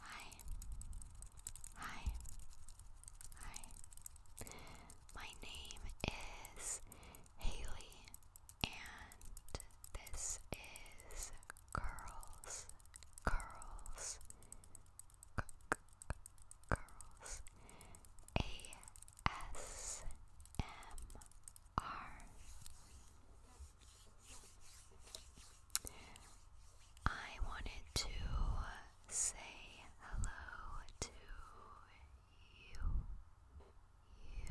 Hi. Hi. Hi. Hi. My name is Haley and this is Girls. Girls. C girls. A S M R. I wanted to say hello to you, you,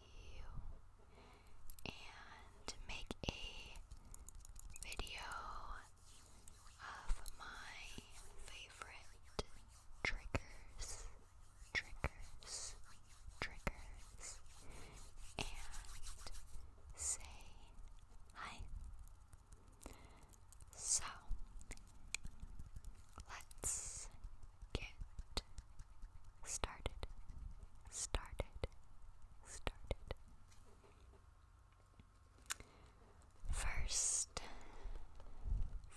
you, and make a video of my favorite triggers, triggers, triggers and say hi. So let's get started, started, started. First,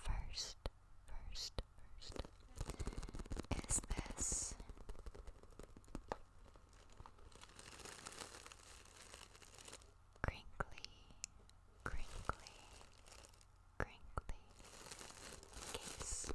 first, first, first, is this crinkly, crinkly, crinkly case.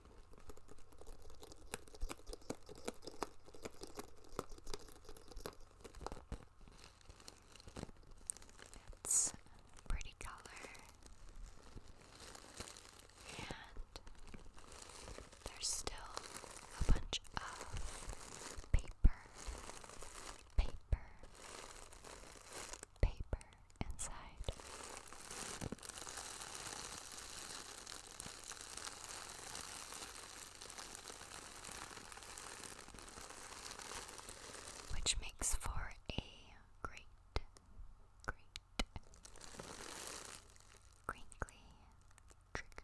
It's a pretty color, and there's still a bunch of paper, paper, paper which makes for a great, great, crinkly trigger.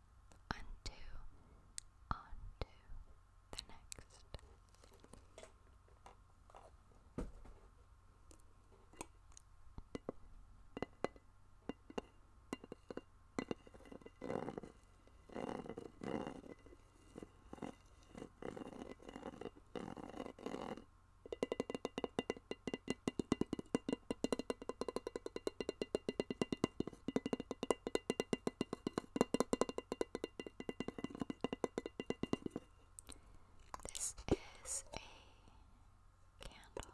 unto, onto the next. This is a candle.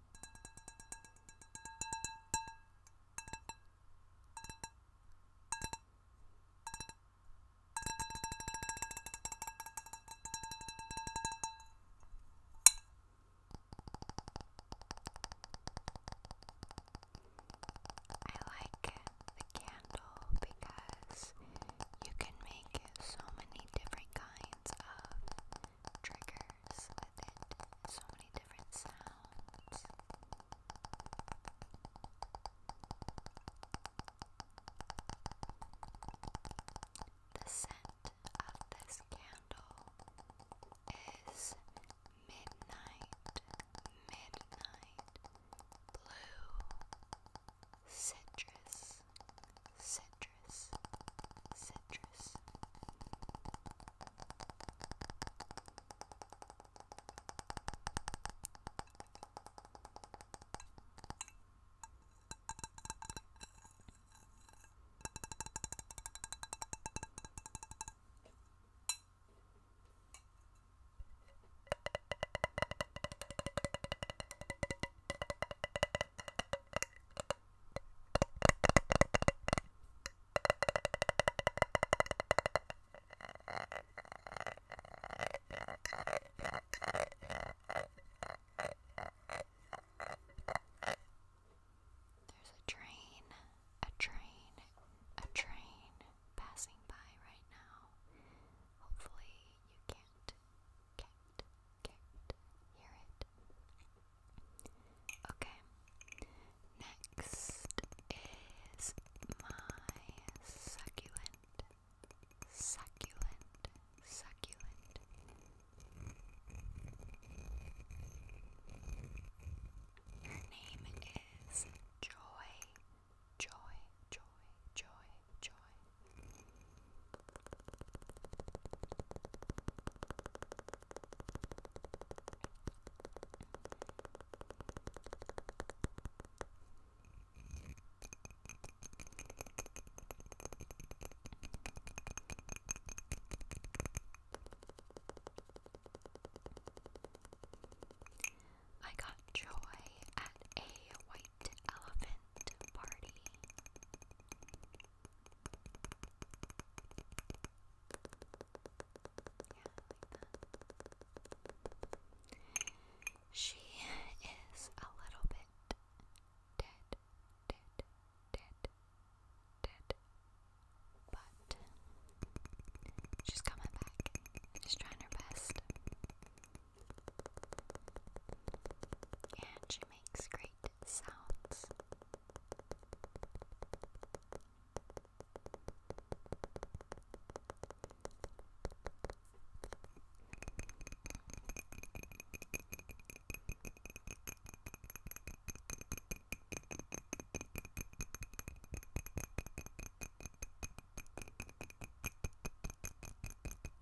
I like the candle because you can make so many different kinds of triggers layers with it, so many different sounds. The scent of this candle is midnight, midnight blue citrus citrus, citrus. There's a train, a train, a train passing by right now. Hopefully, you can't Cat, cat, hear it. Okay, next is my succulent, succulent, succulent. Her name is Joy, Joy, Joy, Joy, joy. I got joy at a white elephant party. Yeah, like that. She is a little bit dead, dead, dead, dead. But she's coming back. She's trying her best and she makes great sounds. I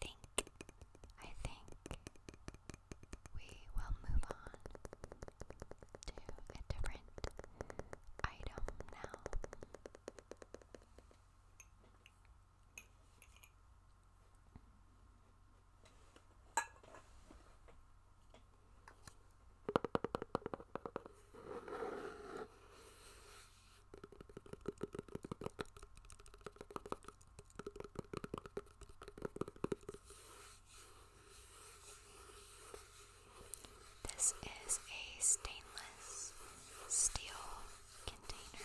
think, I think we will move on to a different item now. This is a stainless steel container.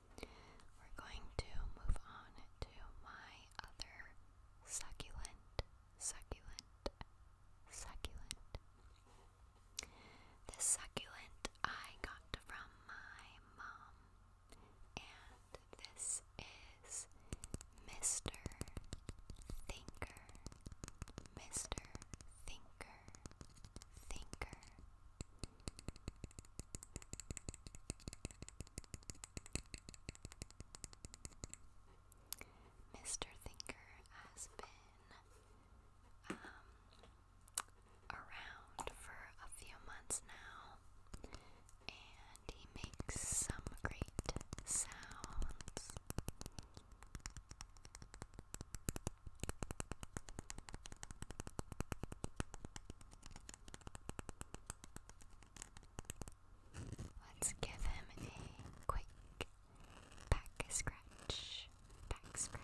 We're going to move on to my other succulent, succulent, succulent. This succulent I got from my mom, and this is Mr. Thinker, Mr. Thinker, Thinker. Mr. Thinker has been um, around for a few months now, and he makes some great sounds. Let's give him a quick back scratch. Back scratch.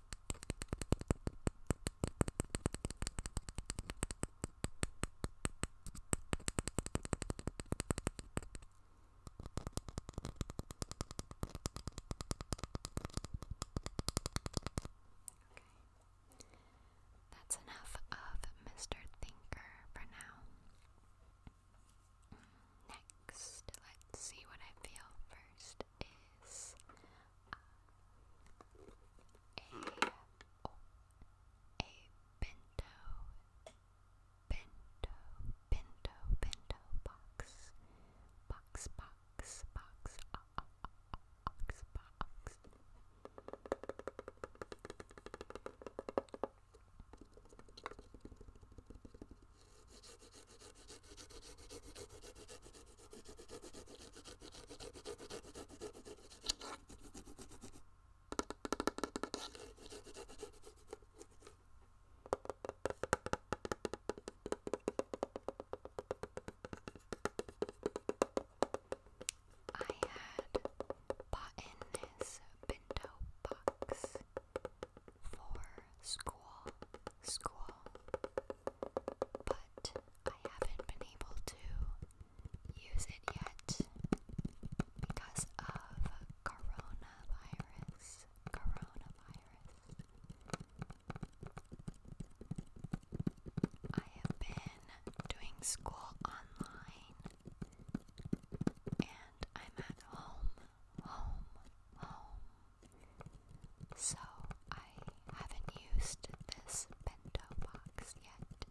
That's enough of Mr. Thinker for now. Next, let's see what I feel first is a, oh, a bento, bento, bento, bento box, box, box, box, uh, uh, uh, box, box. I had bought this bento box for school, school, but I haven't been able to use it yet because of coronavirus. Coronavirus. I have been doing school online and I'm at home, home, home, so I haven't used this bento box yet.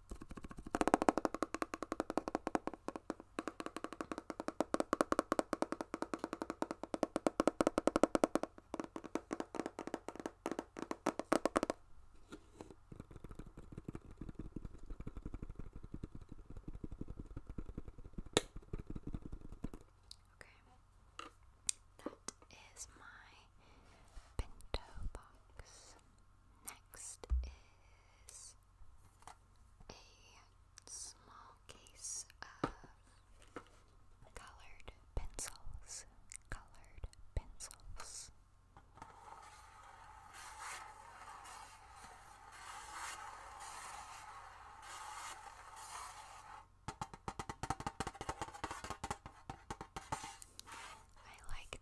Okay. That is my Pinto box. Next is a small case of colored pencils. Colored pencils. I like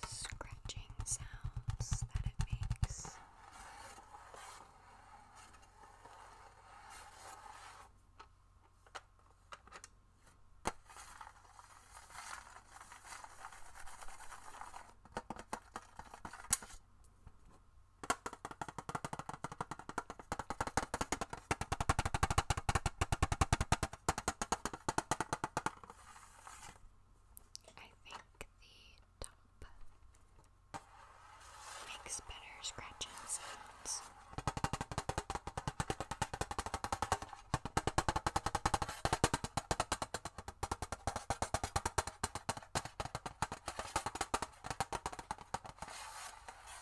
the scratching sounds that it makes. I think the top makes better scratching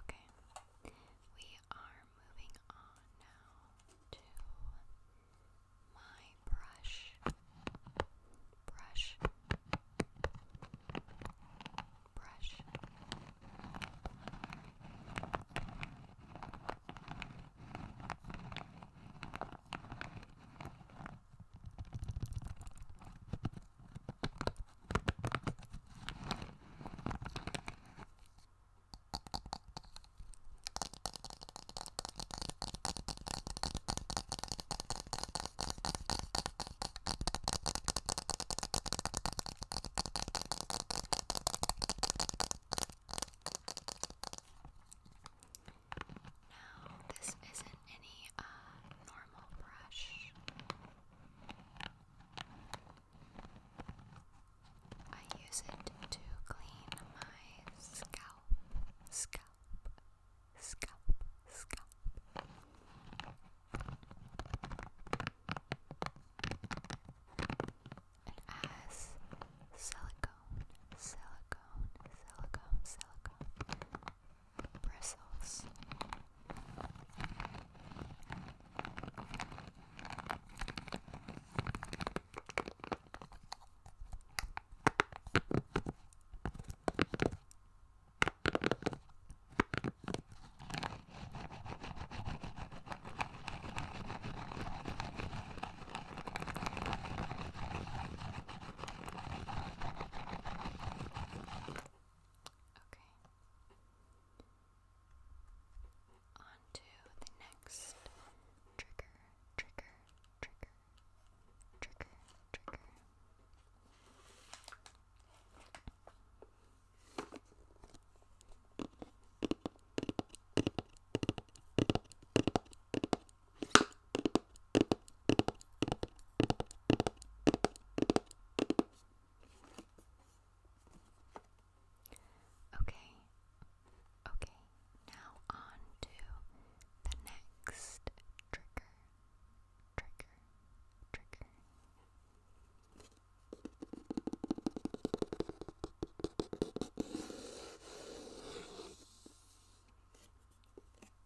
Okay, we are moving on now to my brush, brush, brush. Now, this isn't any uh, normal brush. I use it to clean my scalp, scalp, scalp, scalp. It has silicone, silicone, silicone, silicone, bristles. Okay. On to the next trigger, trigger, trigger, trigger, trigger. Okay, okay, now on to the next trigger, trigger, trigger.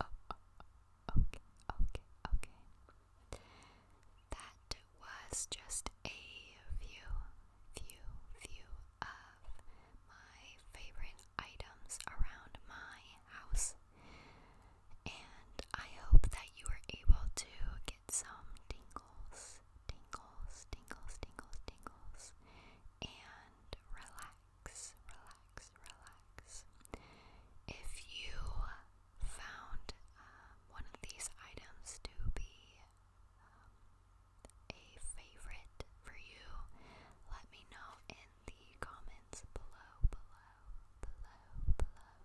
okay, okay, okay. That was just a view, view, view of my favorite items around my house. And I hope that you were able to get some tingles, tingles, tingles, tingles, tingles, and relax relax, relax, If you found um, one of these items to be um, a favorite for you, let me know in the comments below, below, below, below,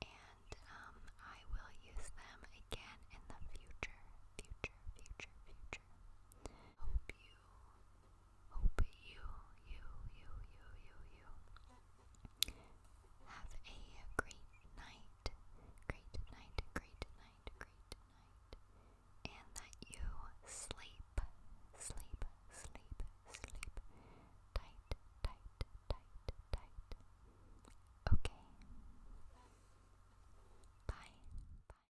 and um, I will use them again in the future, future, future, future. Hope you hope you, you, you, you, you, you have a great night, great night, great night, great night, and that you sleep, sleep, sleep, sleep tight, tight, tight, tight. Okay. Bye. Bye.